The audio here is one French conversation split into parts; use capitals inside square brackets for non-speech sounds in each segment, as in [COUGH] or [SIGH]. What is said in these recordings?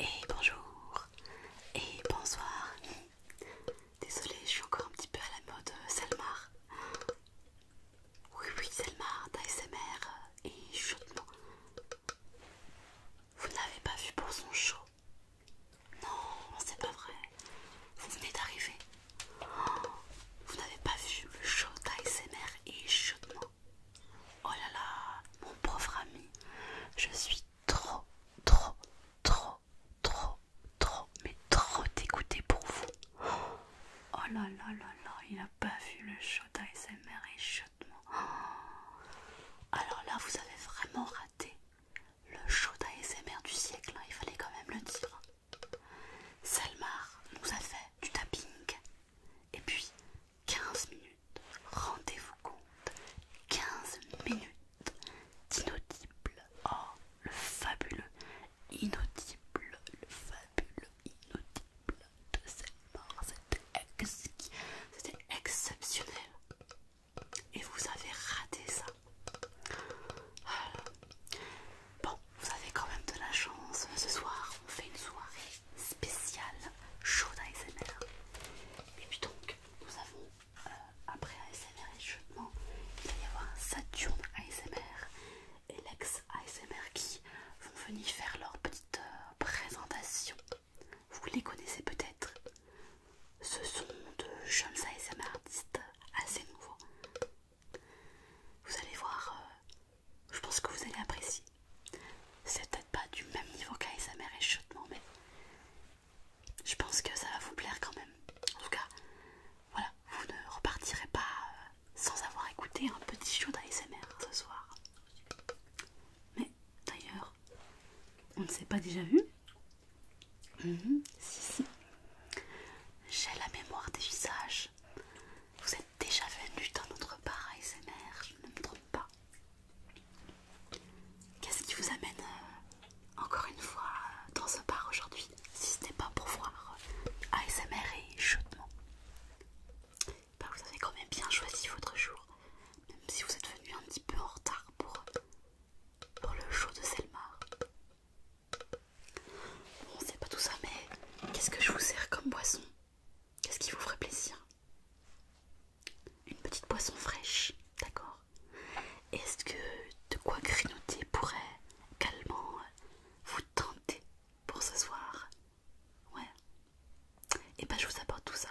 Et bonjour et bonsoir. Désolée, je suis encore un petit peu à la mode euh, Selmar. Oui, oui, Selmar d'ASMR euh, et chuchotement. Vous n'avez pas vu pour son show Non, c'est pas vrai. Vous venez d'arriver. Vous n'avez pas vu le show d'ASMR et chaudement. Oh là là, mon pauvre ami, je suis trop, trop, trop, trop, trop, mais trop dégoûtée pour vous. Oh là là là là, il n'a pas vu le show d'ASMR et chaudement. Alors là, vous avez vraiment raté le show d'ASMR du siècle, hein, il fallait quand même le dire. Selmar nous a fait du tapping. Et puis 15 minutes, rendez-vous compte, 15 minutes d'inaudible. Oh, le fabuleux, inaudible, le fabuleux, inaudible de Selmar. C'était exceptionnel. Et vous avez raté ça. Bon, vous avez quand même de la chance. Ce soir, on fait une soirée spéciale chaude ASMR. Et puis donc, nous avons, euh, après ASMR et il va y avoir un Saturn ASMR et l'ex ASMR qui vont venir faire leur petite euh, présentation. Vous les connaissez peut-être. Ce sont de jeunes ASMR artistes assez nouveaux. Vous allez voir, euh, je pense que vous allez apprécier. C'est peut-être pas du même niveau qu'ASMR et Shotman mais je pense que ça va vous plaire quand même. En tout cas, voilà, vous ne repartirez pas euh, sans avoir écouté un petit show d'ASMR ce soir. Mais d'ailleurs, on ne s'est pas déjà vu Mhm. J'ai la mémoire des visages. Vous êtes déjà venu dans notre bar ASMR, je ne me trompe pas. Qu'est-ce qui vous amène euh, encore une fois euh, dans ce bar aujourd'hui Si ce n'est pas pour voir ASMR euh, et chaudement ben, Vous avez quand même bien choisi votre jour, même si vous êtes venu un petit peu en retard pour pour le show de Selmar. Bon, c'est pas tout ça, mais qu'est-ce que je vous sers comme boisson Qu'est-ce qui vous ferait plaisir Une petite boisson fraîche, d'accord Est-ce que de quoi grignoter pourrait calmement vous tenter pour ce soir Ouais. Et eh ben je vous apporte tout ça.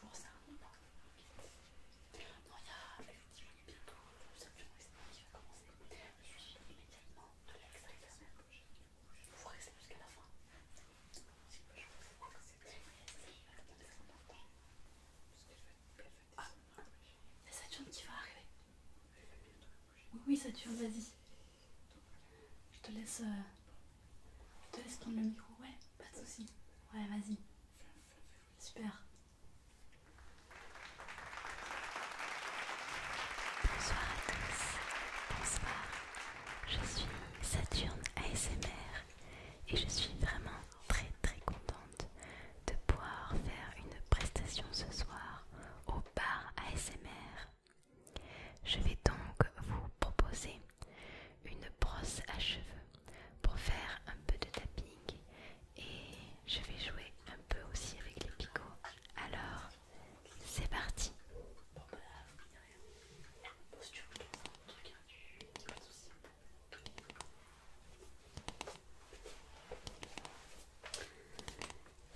Pour ça, on part. Non, il y a effectivement bientôt euh, le simplement extérieur qui va commencer. Je suis immédiatement de l'extérieur. Vous restez jusqu'à la fin. Si je vous ai pas c'est très important. Ah, il y a Saturne qui va arriver. Oui, oui, Saturne, vas-y. Je te laisse. Euh, je te laisse prendre le micro, ouais, pas de soucis. Ouais, vas-y. Super. Bonsoir à tous. Bonsoir. Je suis Saturne ASMR et je suis vraiment très très contente de pouvoir faire une prestation ce soir au bar ASMR. Je vais donc vous proposer une brosse à cheveux pour faire un peu de tapping et je vais jouer un peu aussi avec les picots. Alors, c'est parti.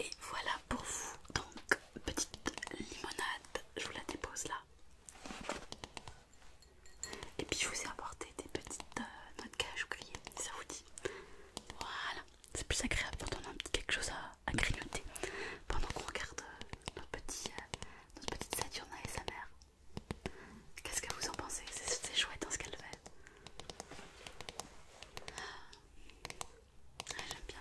Et voilà pour vous, donc petite limonade, je vous la dépose là. Et puis je vous ai apporté des petites notes euh, noix de ça vous dit. Voilà, c'est plus agréable quand on a quelque chose à, grignoter pendant qu'on regarde euh, notre, petit, euh, notre petite Saturna et sa mère. Qu'est-ce que vous en pensez C'est chouette dans hein, ce qu'elle fait. Ah, J'aime bien.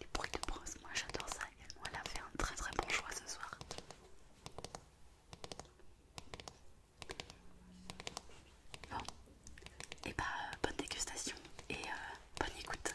Les bruits de brosse, moi j'adore ça Elle a fait un très très bon choix ce soir. Bon, et eh bah ben, euh, bonne dégustation et euh, bonne écoute.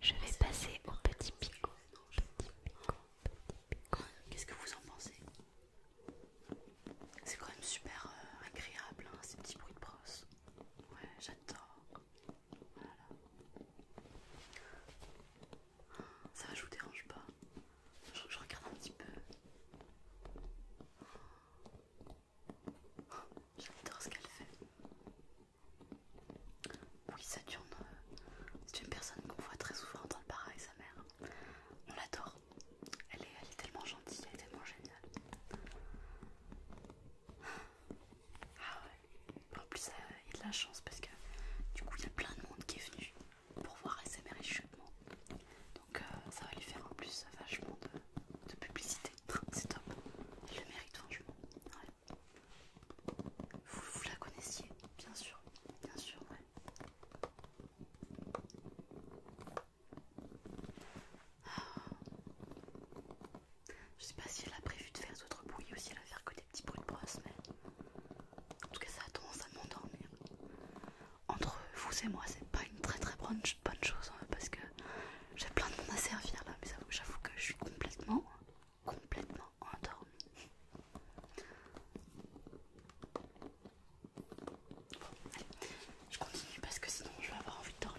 Je vais passer au petit picot. Qu'est-ce que vous en pensez C'est quand même super euh, agréable hein, ces petits bruits de brosse. Ouais, j'adore. Ça va, je vous dérange pas. je regarde un petit peu. J'adore ce qu'elle fait. Oui, Saturne, euh, c'est une personne qu'on voit très souvent dans le bar avec sa mère. On l'adore. Elle est, tellement gentille, elle est tellement géniale. Ah ouais. En plus, euh, il a de la chance parce que du coup, il y a plein de monde qui est venu pour voir SMR et Donc euh, ça va lui faire en plus vachement de publicité c'est top. Elle le mérite vraiment, Vous, la connaissiez, bien sûr, bien sûr, ouais. Je sais pas si elle a prévu de faire d'autres bruits ou si elle a faire que des petits bruits de brosse, mais en tout cas ça a tendance à m'endormir. Entre vous et moi, c'est pas une très très bonne, chose hein, parce que j'ai plein de monde à servir là, mais j'avoue que je suis complètement, complètement endormie. je continue parce que sinon je vais avoir envie de dormir.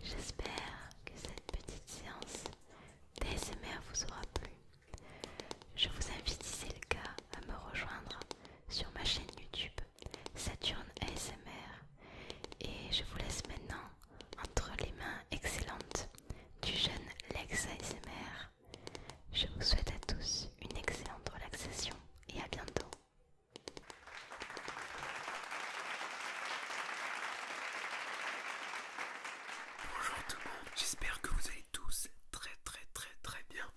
J'espère que cette petite séance d'ASMR vous aura plu. Je vous invite, si c'est le cas, à me rejoindre sur ma chaîne YouTube Saturne ASMR. Et je vous laisse maintenant entre les mains excellentes du jeune Lex ASMR. Je vous souhaite à tous une excellente relaxation et à bientôt. Bonjour tout le monde, j'espère que vous allez tous très très très très bien.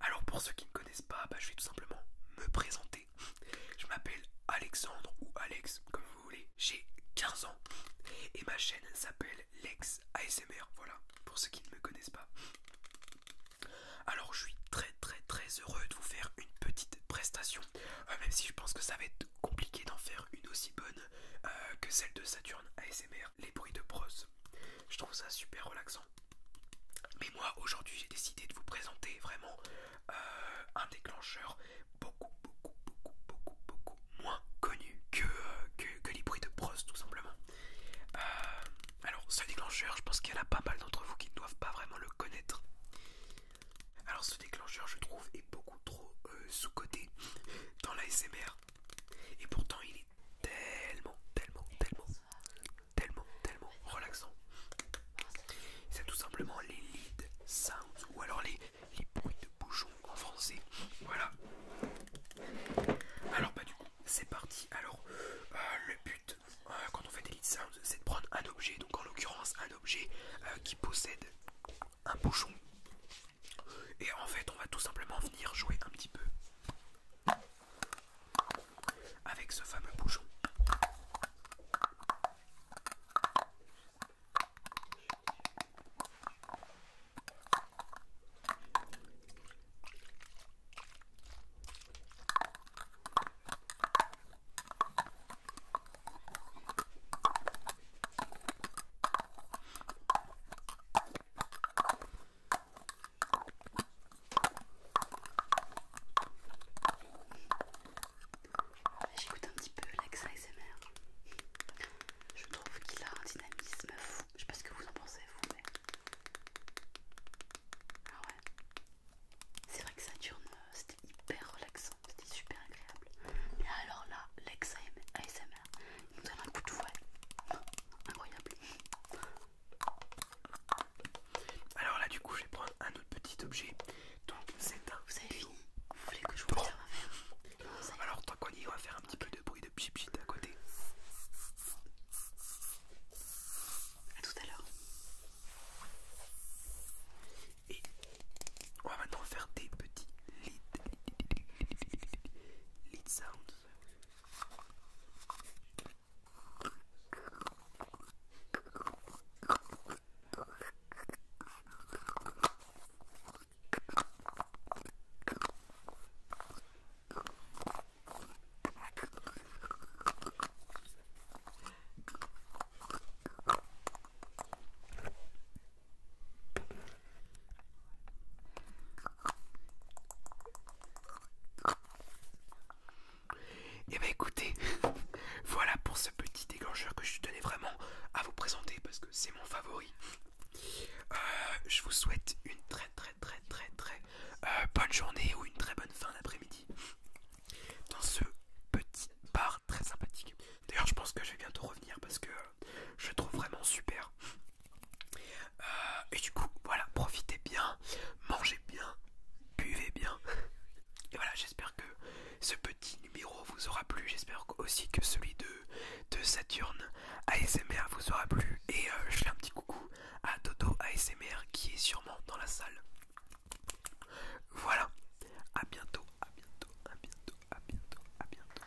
Alors pour ceux qui ne connaissent pas, bah, je vais tout simplement me présenter. Je m'appelle Alexandre ou Alex comme vous voulez, j'ai 15 ans et ma chaîne s'appelle Lex ASMR, voilà, pour ceux qui ne me connaissent pas. Alors je suis très très très heureux de vous faire une petite prestation, euh, même si je pense que ça va être compliqué d'en faire une aussi bonne euh, que celle de Saturne ASMR, les bruits de brosse. Je trouve ça super relaxant. Mais moi aujourd'hui j'ai décidé de vous présenter vraiment euh, un déclencheur beaucoup beaucoup beaucoup beaucoup beaucoup moins connu que, les bruits de brosse tout simplement. Alors, ce déclencheur, je pense qu'il y en a pas mal d'entre vous qui ne doivent pas vraiment le connaître. Alors, ce déclencheur, je trouve, est beaucoup trop euh, sous-coté dans la SMR. Et pourtant, il est tellement, tellement, tellement, tellement, tellement relaxant. C'est tout simplement les lead sounds ou alors les, les bruits de bouchons en français. Voilà. Alors, bah, du coup, c'est parti. Alors, euh, le but euh, quand on fait des lead sounds, c'est de prendre un objet, donc en l'occurrence un objet euh, qui possède un bouchon. Et en fait, on va tout simplement venir jouer un petit peu avec ce fameux bouchon. J'écoute un petit peu Lex ASMR, Je trouve qu'il a un dynamisme fou. Je sais pas ce que vous en pensez, vous, mais. C'est vrai que Saturne, euh, c'était hyper relaxant, c'était super agréable. Mais alors là, l'ex ASMR, il nous donne un coup de fouet. Incroyable. Alors là, du coup, je vais prendre un autre petit objet. Donc, c'est un. Vous avez fini Vous voulez que je vous fasse le serve à faire Alors, tant qu'on on va faire un petit peu de bruit de pchit à côté. A tout à l'heure. Et on va maintenant faire des petits lead sounds. Et eh bah ben, écoutez, [LAUGHS] voilà pour ce petit déclencheur que je tenais vraiment à vous présenter parce que c'est mon favori. Euh, je vous souhaite une très très très très très euh, bonne journée ou une très bonne fin d'après-midi dans ce petit bar très sympathique. D'ailleurs, je pense que je vais bientôt revenir parce que euh, je trouve vraiment super. Euh, et du coup, voilà, profitez bien, mangez bien, buvez bien. Et voilà, j'espère que ce petit numéro vous aura plu. J'espère aussi que celui de, de Saturne ASMR vous aura plu et euh, je fais un petit coucou à Dodo ASMR qui est sûrement dans la salle. Voilà, à bientôt, à bientôt, à bientôt, à bientôt, à bientôt.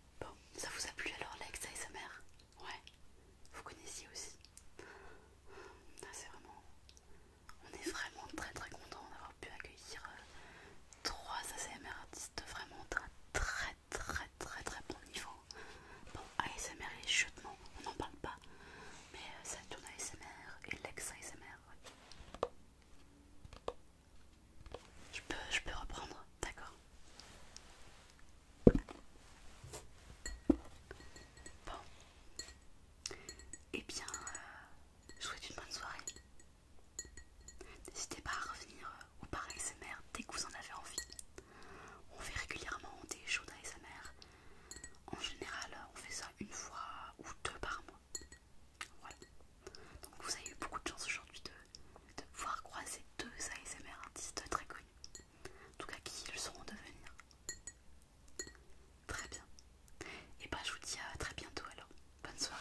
Bon, ça vous a plu alors Lex ASMR Ouais, vous connaissiez aussi. Ah, c'est vraiment... On est vraiment très très content d'avoir pu accueillir euh, trois ASMR artistes vraiment très très très très très bon niveau. Bon, ASMR et chutement, on n'en parle pas. Mais ça euh, tourne ASMR et Lex ASMR. Je peux, je peux reprendre, d'accord. Bon. Eh bien, euh, je vous souhaite une bonne soirée. N'hésitez pas à revenir euh, au ou par ASMR dès que vous en avez envie. On fait régulièrement des shows d'ASMR. En général, on fait ça une fois ou deux par mois. Voilà. Donc vous avez eu beaucoup de chance aujourd'hui de, voir croiser deux ASMR artistes très connus. En tout cas qui le seront devenir. Très bien. Et bah ben, je vous dis à très bientôt alors. Bonne soirée.